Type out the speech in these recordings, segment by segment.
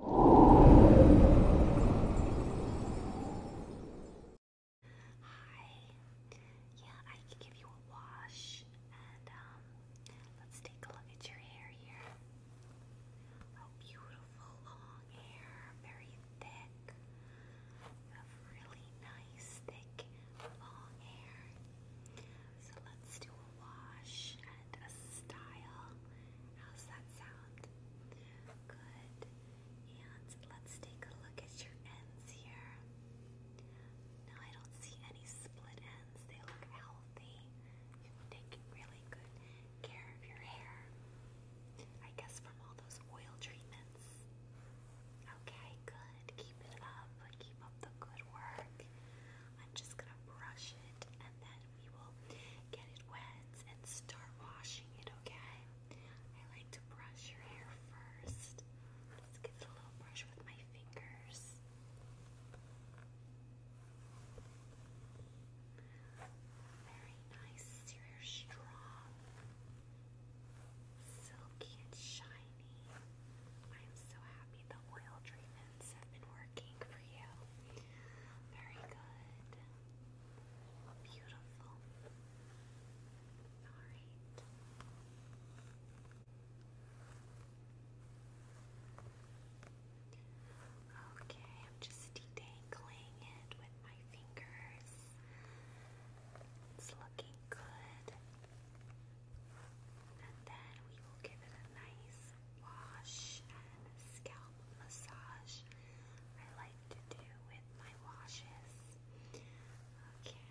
Hi. Yeah, I can give you a wash and um, let's take a look at your hair here. Oh, beautiful long hair, very thick. really nice thick long hair. So let's do a wash a style. How's that sound? Good. And let's take a look at your ends here. Now I don't see any split ends. They look healthy. You're taking really good care of your hair. I guess from all those oil treatments. Okay, good. Keep it up. Keep up the good work. I'm just gonna brush it and then we will get it wet and start washing it, okay? I like to brush your hair first. Let's give a little brush with my fingers. Very nice. Your hair strong, silky, and shiny. I'm so happy the oil treatments have been working for you. Very good. Beautiful. Alright. Okay, I'm just detangling it with my fingers. It's looking good. And then we will give it a nice wash and scalp massage I like to do with my washes. Okay,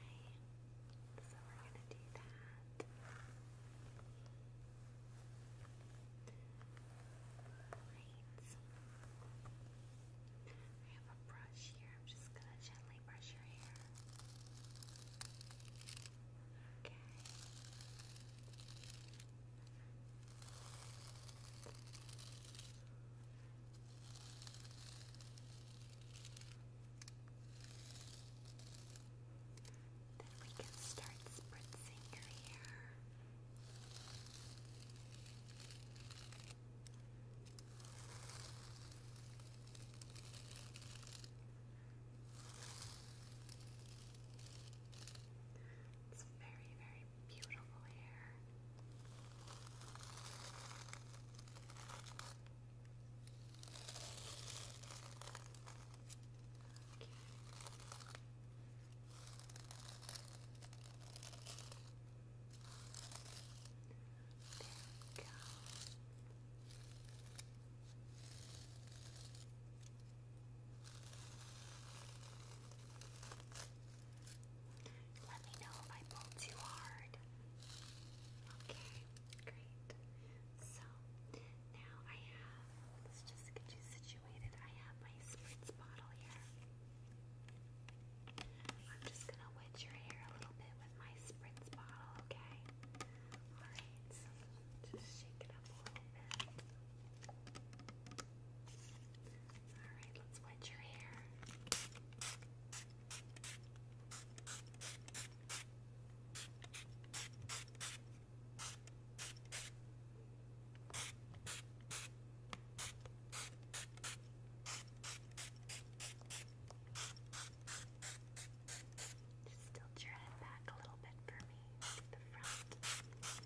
so we're going to do that. I have a brush here. I'm just going to gently brush your hair. Okay. Then we can start spritzing your hair. Good. It's very, very beautiful here. There we go. Let me know if I pull too hard. Okay, great. So now I have, let's just get you situated. I have my spritz bottle here. I'm just gonna wet your hair a little bit with my spritz bottle, okay? Alright, just shake it up a little bit. Alright, let's wet your hair. Just tilt your head back a little bit for me the front. Okay. getting there.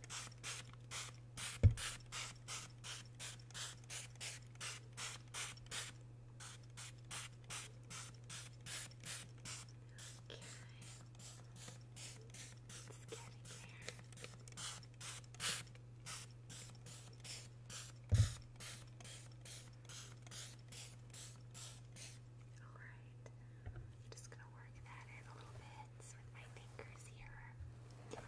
Alright, just going to work that in a little bit bits with my fingers here. And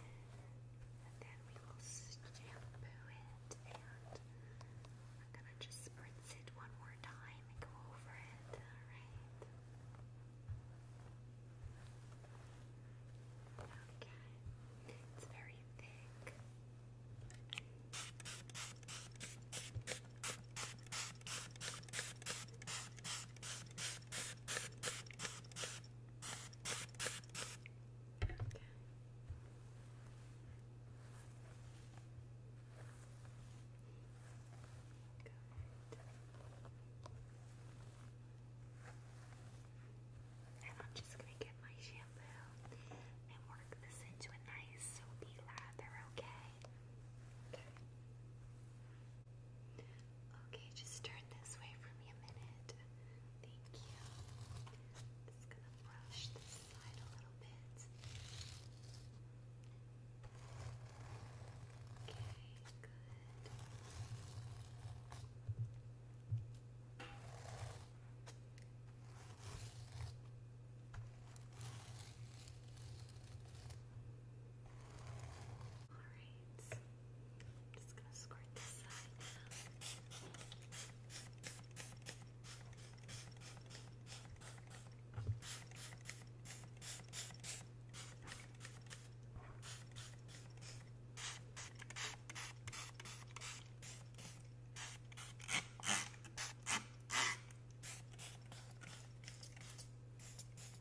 then we will shampoo it and I'm gonna just spritz it one more time and go over it. Alright. Okay. It's very thick. And I'm just gonna get my shampoo and work this into a nice soapy lather, Okay. Okay, just turn this way for me a minute. Thank you. I'm gonna brush this side a little bit. Okay, good. Alright, I'm just gonna squirt this side now. Okay,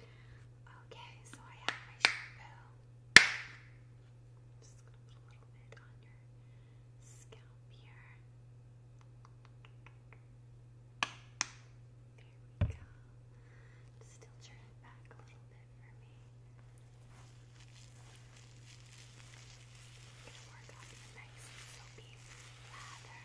Okay, so I have my shampoo. Just gonna put a little bit on your scalp here. There we go. Still turn it back a little bit for me. Gonna work on the nice soapy lather.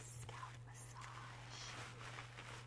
Scalp massage. Scalp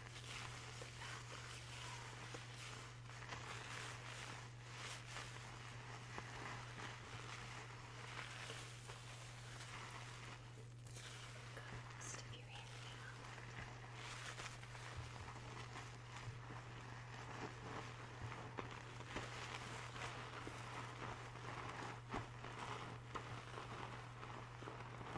Good. Stick your hand down. Good.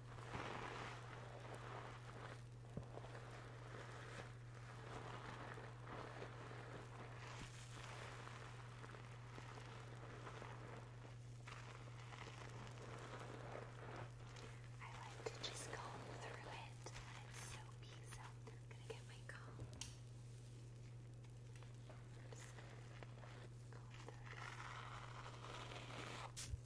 I like to just comb through it. It's soapy, so I'm gonna get my comb. Just comb through.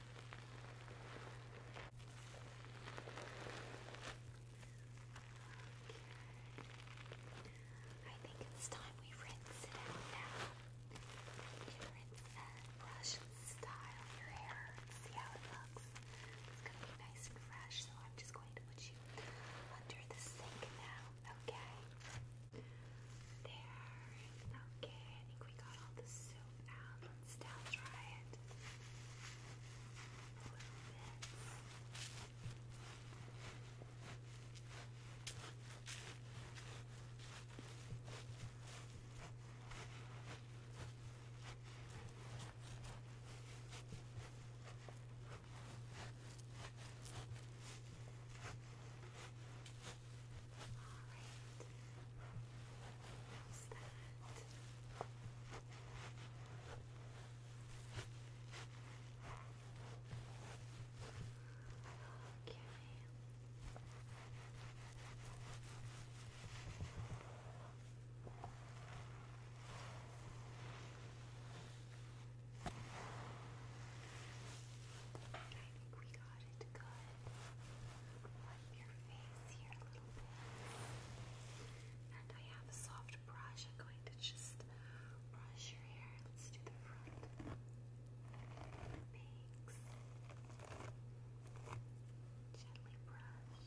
I think it's time we rinse it out now. rinse and brush and style your hair and see how it looks. It's going to be nice and fresh, so I'm just going to put you under the sink now, okay? There. Okay, I think we got all the soap out. Let's now it a little bit. Alright. How's Okay. I think we got Wipe your face here a little bit. And I have a soft brush. I'm going to just brush your hair. Let's do the front. Thanks. Gently brush.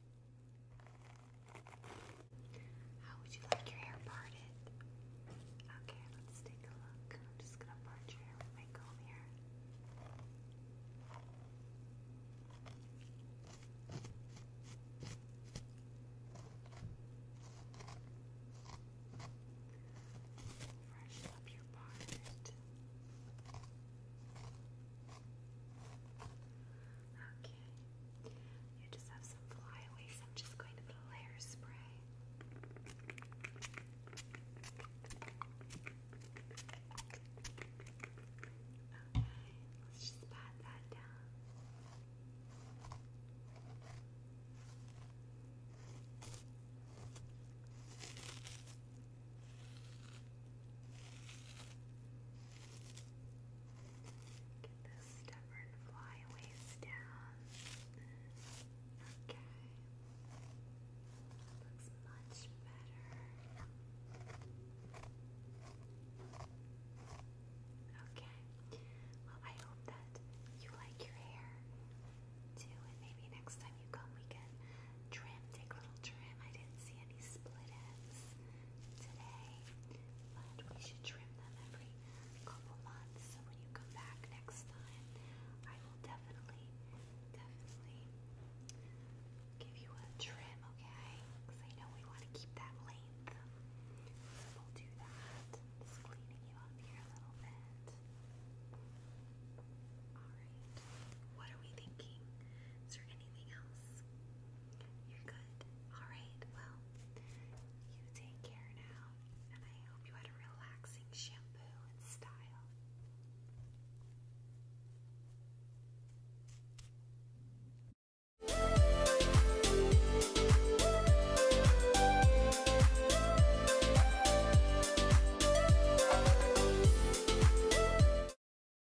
How would you like your hair parted? Okay, let's take a look. I'm just gonna part your hair with my comb here. Freshen up your part. Okay. You just have some flyaways. I'm just going to put a layer spray. Okay, let's just pat that down. Get this stubborn fly down. Okay. Looks much better. Okay. Well, I hope that you like your hair too, and maybe next time you come, we can trim, take a little trim. I didn't see any split ends today, but we should trim them every couple months. So when you come back next time, I will definitely, definitely give you a trim, okay? Because I know we want to keep that length. we'll do that. Just cleaning you up here a little bit. Alright. What are we thinking? Is there anything else? You're good. Alright, well, you take care now, and I hope you had a relaxing shampoo and style.